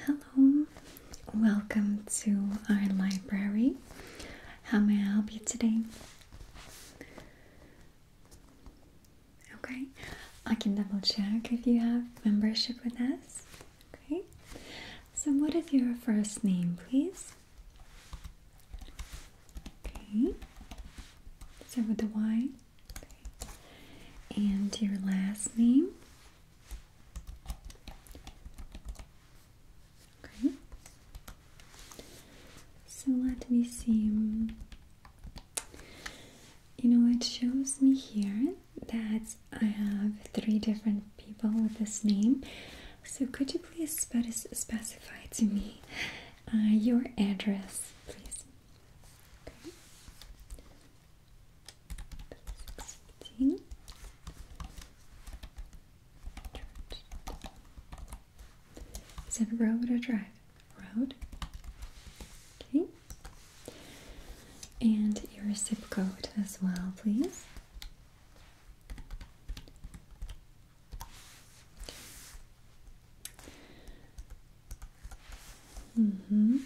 Hello, welcome to our library. How may I help you today? Okay, I can double check if you have membership with us. Okay, so what is your first name, please? Okay, so with the Y. And your last name? Okay. So let me see. You know, it shows me here that I have three different people with this name. So could you please specify to me uh, your address, please? Is it a road or a drive? Road. Okay. And your zip code as well, please. Mm-hmm.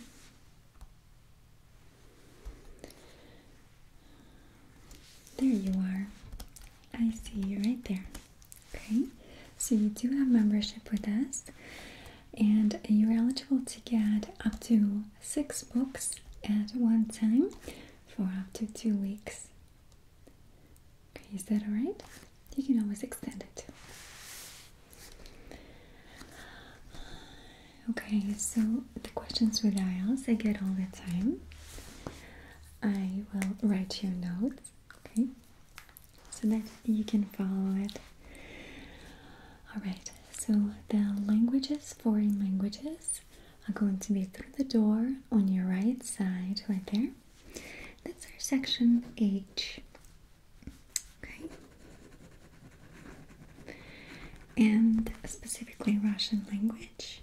There you are. I see you right there. Okay, so you do have membership with us, and you're eligible to get up to six books at one time for up to two weeks. Okay, is that alright? You can always extend it. Okay, so the questions with IELTS I get all the time. I will write your notes, okay? So that you can follow it. Alright, so the languages, foreign languages, are going to be through the door on your right side, right there. That's our section H. Okay. And specifically Russian language.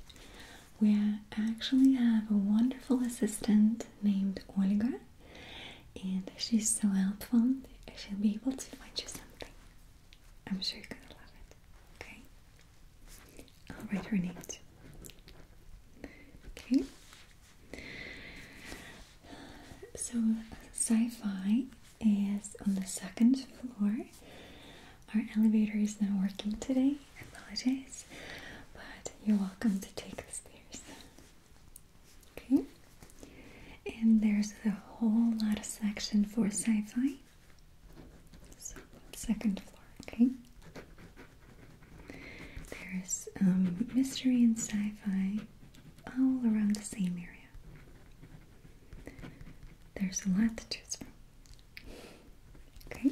We actually have a wonderful assistant named Olga, and she's so helpful, she'll be able to find you something. I'm sure you're gonna love it. Okay? I'll write her name too. Okay? So, sci fi is on the second floor. Our elevator is not working today, apologize, but you're welcome to take the stairs. Okay, and there's a whole lot of section for sci-fi. So second floor, okay. There's um, mystery and sci-fi all around the same area. There's a lot to choose from. Okay.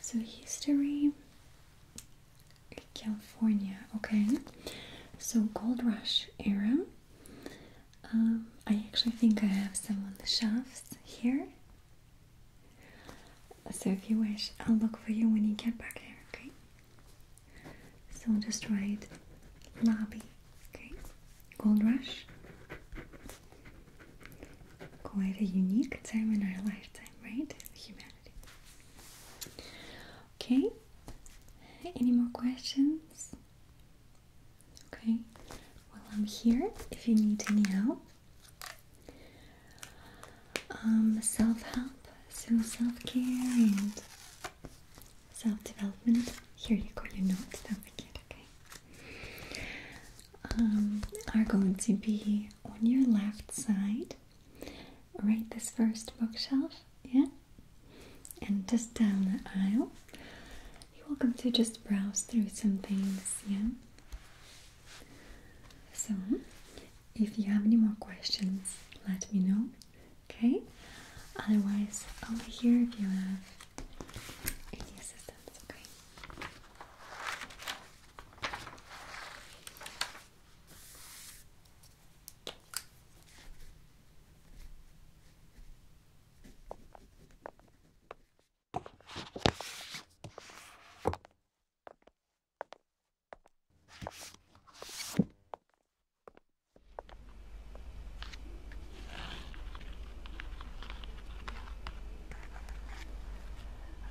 So history California, okay. So gold rush era. Um, I actually think I have some on the shelves here. So if you wish, I'll look for you when you get back here, okay? So just write lobby, okay? Gold Rush. Quite a unique time in our lifetime, right? Humanity. Okay. Any more questions? Okay. While I'm here if you need any help. Um, self help, so self care self-development. Here you go, your notes, don't forget, okay? Um, are going to be on your left side, right this first bookshelf, yeah? And just down the aisle. You're welcome to just browse through some things, yeah? So, if you have any more questions, let me know. Okay. Otherwise, over here if you have any assistance. Okay.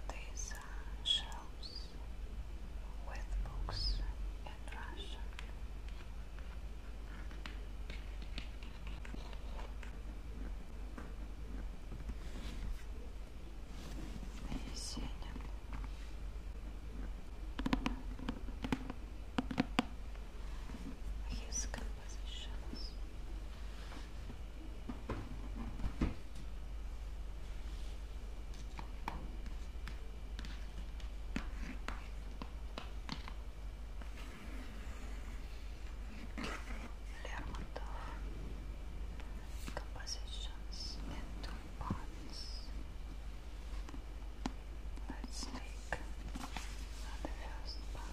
These are uh, shelves with books in Russian his compositions. Lermontov compositions in two parts. Let's take the first part.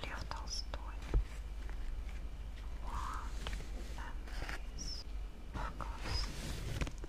Лев Толстой. Wow, that face. Of course.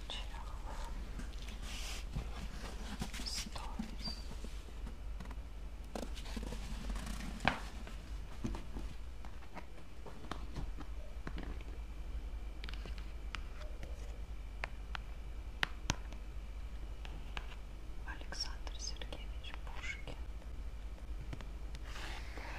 Stories. Александр Сергеевич Пушкин. Поэзия.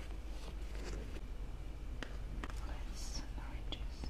Let's register mailbox.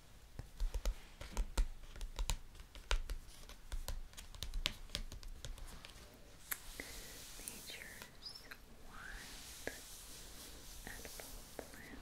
Nature's wild edible plants.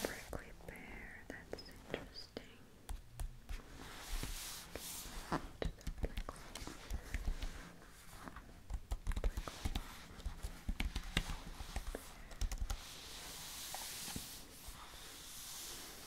Prickly pear, that's interesting. To the prickly. Prickly.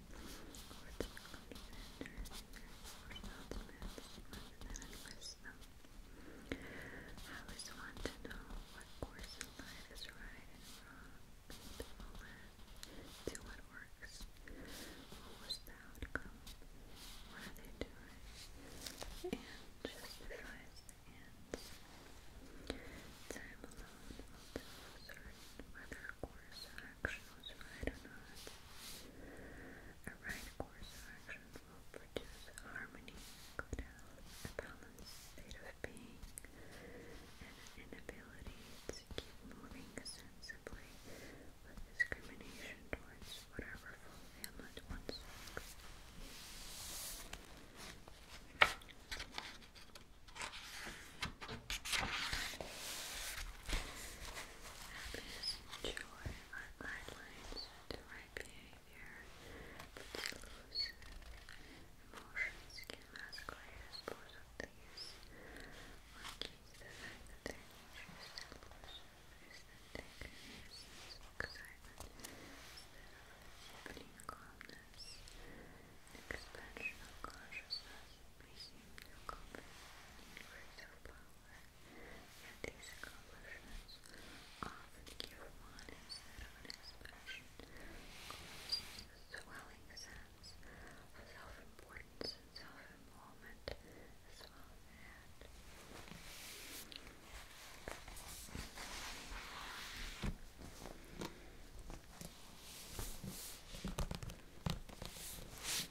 I always want to know what course in life is right and wrong, to all that, to what works. What was the outcome? What are they doing? And justifies the ends. Time alone will tell certain whether course action A right course action will produce harmony, good health, a balanced state of being, and an inability to keep moving sensibly discrimination towards whatever fulfillment one seeks. Happiness and joy guidelines right behavior, but delusive emotions can mask layers both of these. One key the fact that their excitement instead expansion consciousness presume to cover universal power, yet these accomplishments often give one instead an expression causes a swelling sense of self-importance and self-involvement as well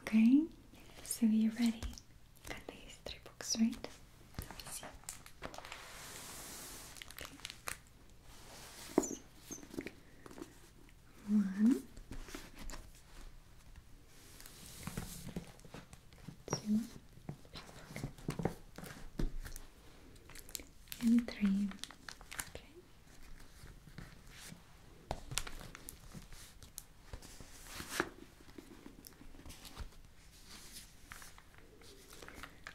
Okay, so you're ready. Got these three books, right? One, two, in three. Okay.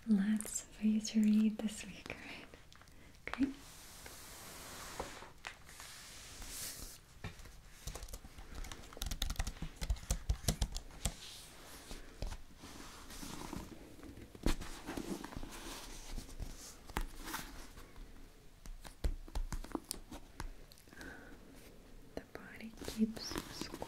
Lots for you to read this week, right? Okay. The body keeps score.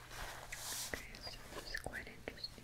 Okay, so it's quite interesting.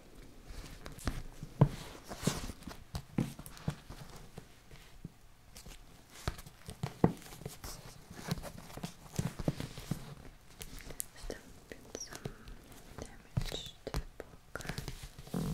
Still been some damage to the book. Okay.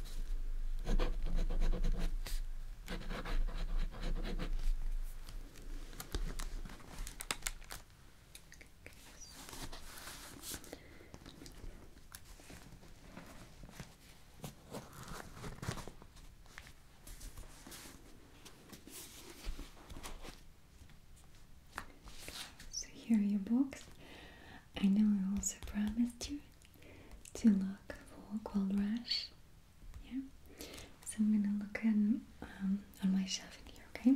So here are your books. I know I also promised you to look for cold rash. Yeah. So I'm gonna look in, um, on my shelf here, okay?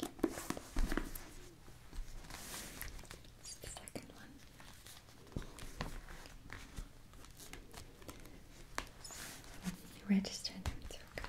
That's the second one. You registered it's Okay.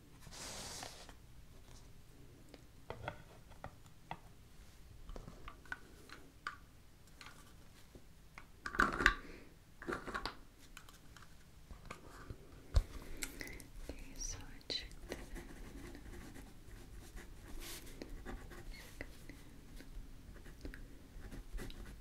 Okay, so I checked that in. Check it in. Check it in.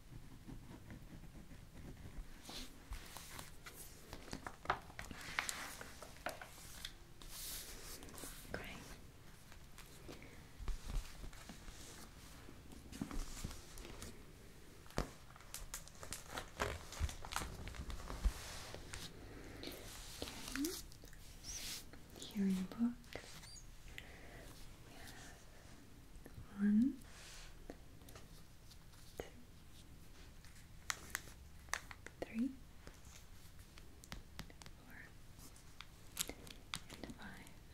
Great. Okay. So here one, two, three, four, and five.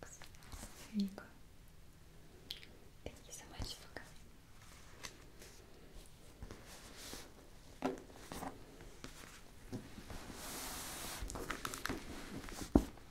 Books. Here you go. Thank you so much for coming.